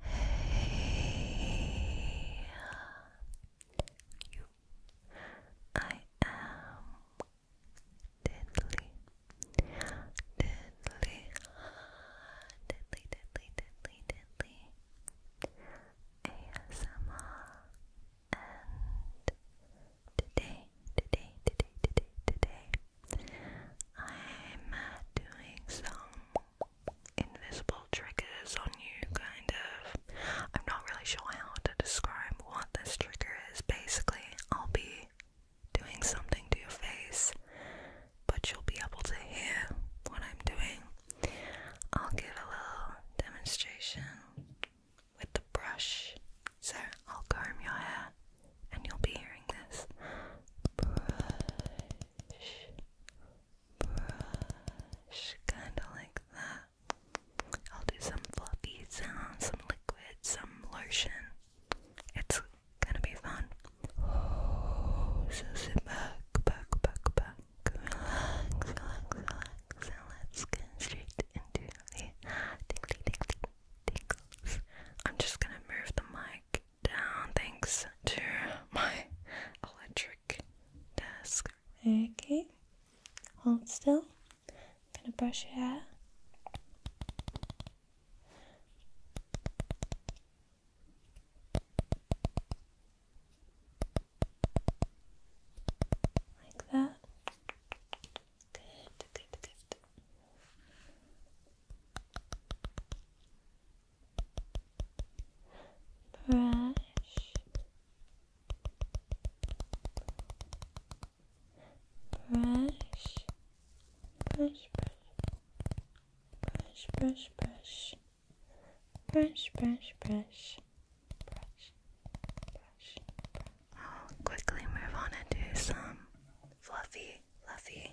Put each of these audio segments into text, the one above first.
Hey, you. I am deadly, deadly, deadly, deadly, deadly, deadly. ASMR, and today, today, today, today, today, I'm doing some invisible triggers on you, kind of. I'm not really sure how to describe what this trigger is. Basically, I'll be doing something to your face, but you'll be able to hear what I'm doing. I'll give a little demonstration with the brush. So I'll comb your hair and you'll be hearing this. Brush brush, kind of like that. I'll do some fluffy sounds, some liquid, some lotion. It's gonna be fun. Oh, so sit back, back, back, back, relax, relax, relax, and let's get straight into the tickly, tickly, tickles. I'm just gonna move the mic down thanks to my electric desk. Okay, hold still. I'm gonna brush your hair. Like that. good brush brush brush brush brush brush brush brush brush brush brush brush I'll quickly move on and do some fluffy fluffy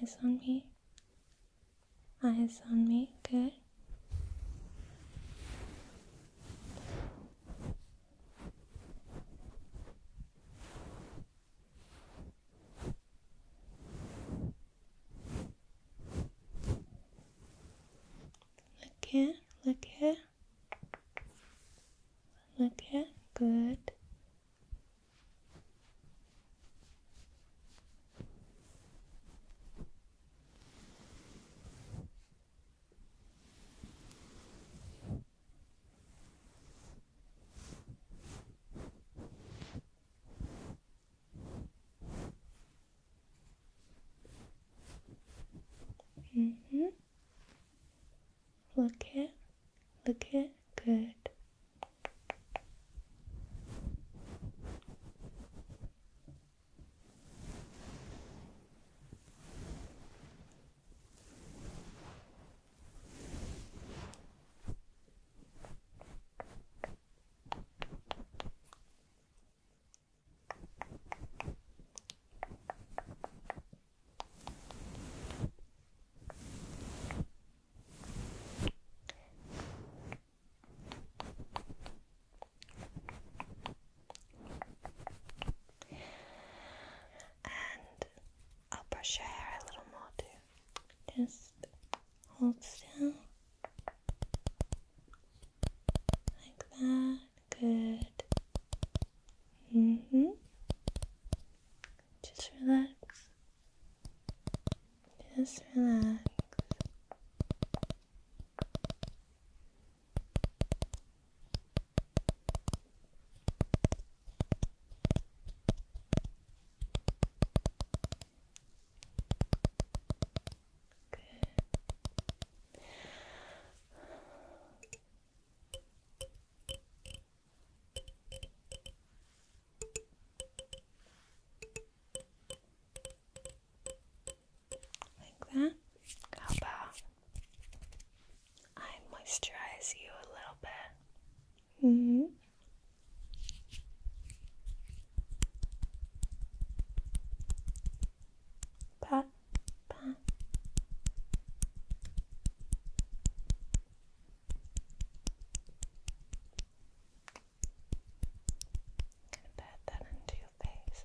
Eyes on me. Eyes on me. Good. Look here, look here, look here, good, Mm-hmm. Look Look it Good. And I'll brush your hair a little more too. Just hold still. Like that. Good. hmm. Just relax. Just relax. Good. Like that. How about I moisturize you a little bit? hmm. Pat, Gonna pat that into your face.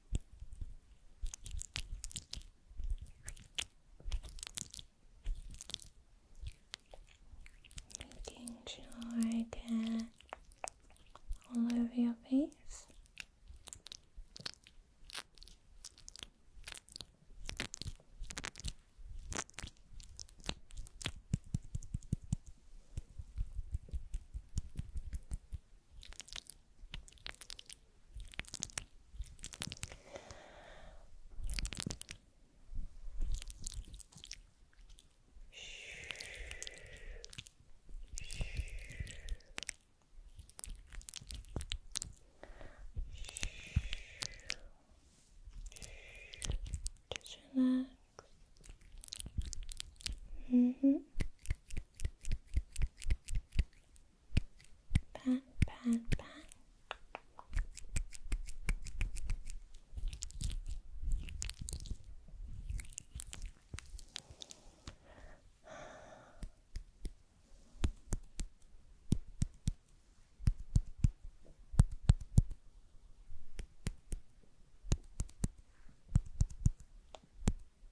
Making sure I get all over your face. Just relax. -hmm. Pat, pat, pat. Pat,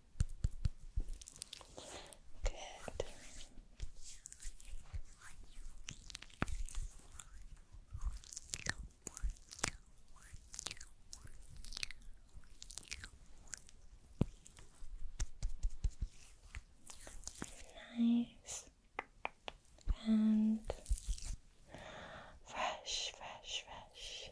Good. Nice and fresh, fresh, fresh.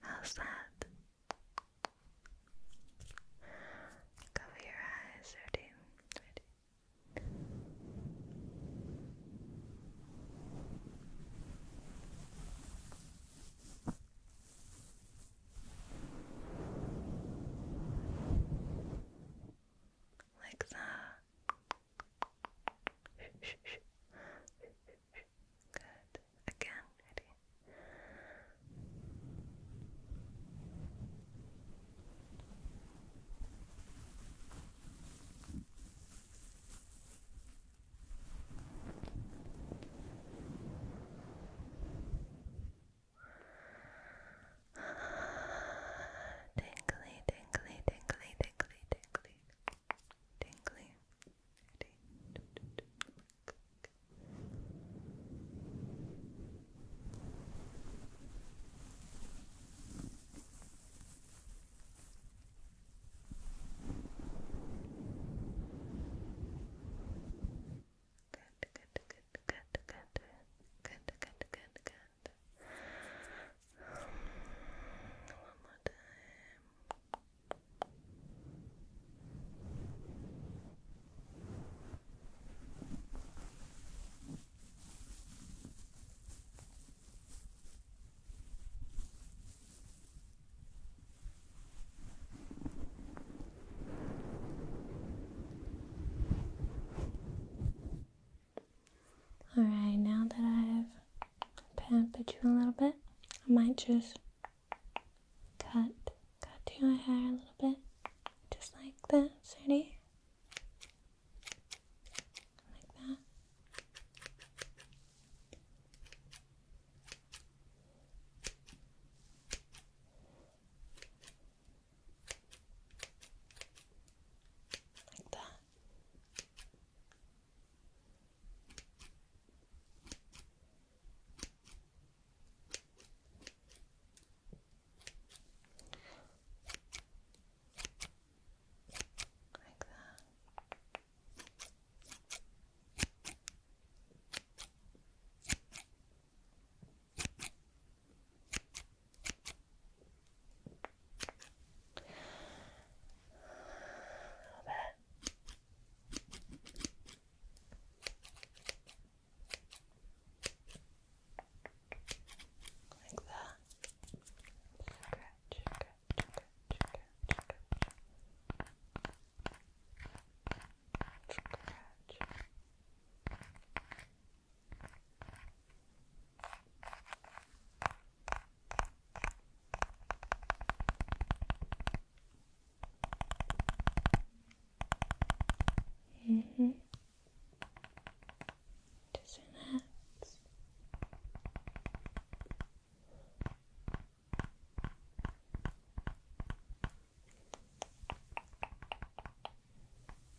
How's that? Cover your eyes, ready? Ready? Like that. Good. Again, ready. Tingly, tingly, tingly, tingly, tingly, tingly. Good, good, good, good, good, good, good, good, good, that. Um, one more time. Alright, now that I've pampered you a little bit, I might just cut cut your hair a little bit. Just like that, Sadie. Like that. Like that. Like that. Like that. Scratch, scratch, Mm -hmm. Just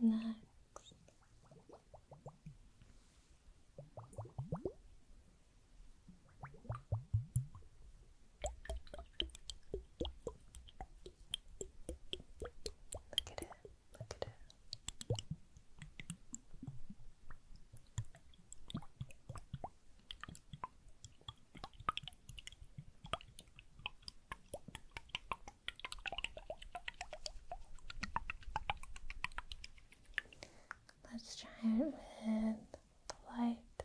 Relax. Look at it. Let's try it with the light.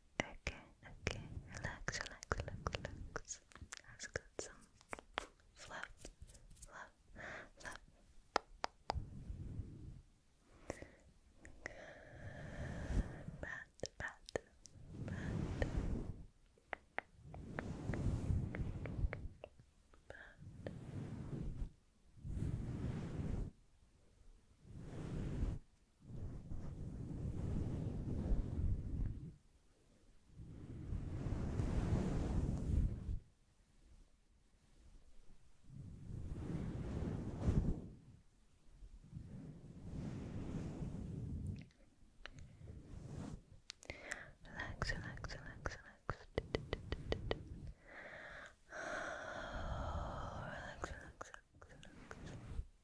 Okay, okay, relax, relax, relax, relax. Let's get some fluff, fluff, fluff. Pat, pat, pat. Pat. Relax, relax, relax, relax. Oh, relax, relax, relax, relax.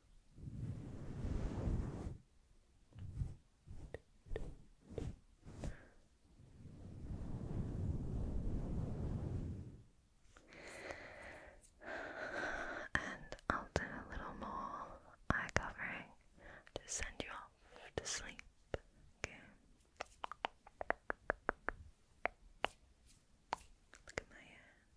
And I'll do a little more eye covering to send you off to sleep. Look at my hand.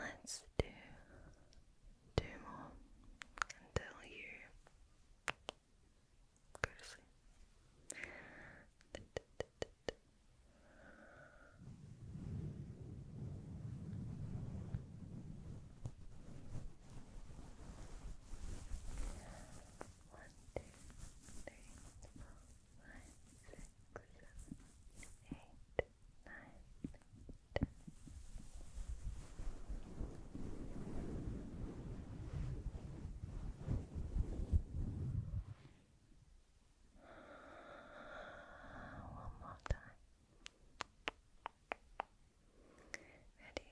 Let's do two more until you go to sleep. One, two, three, four, five, six, seven, eight, nine, ten. One more time. Ready?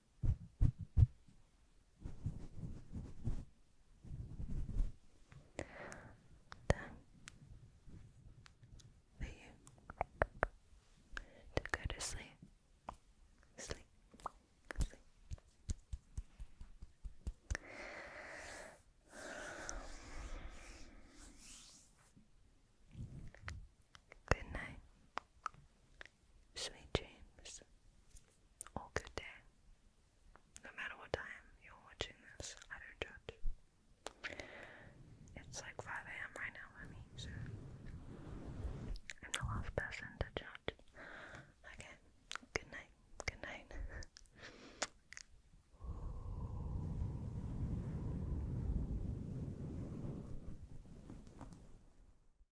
Time for you to go to sleep. Sleep. Sleep. Good night. Sweet dreams, or good day. No matter what time you're watching this, I don't judge. It's like 5 a.m. right now for me, so I'm the last person to judge. Okay, good night, good night.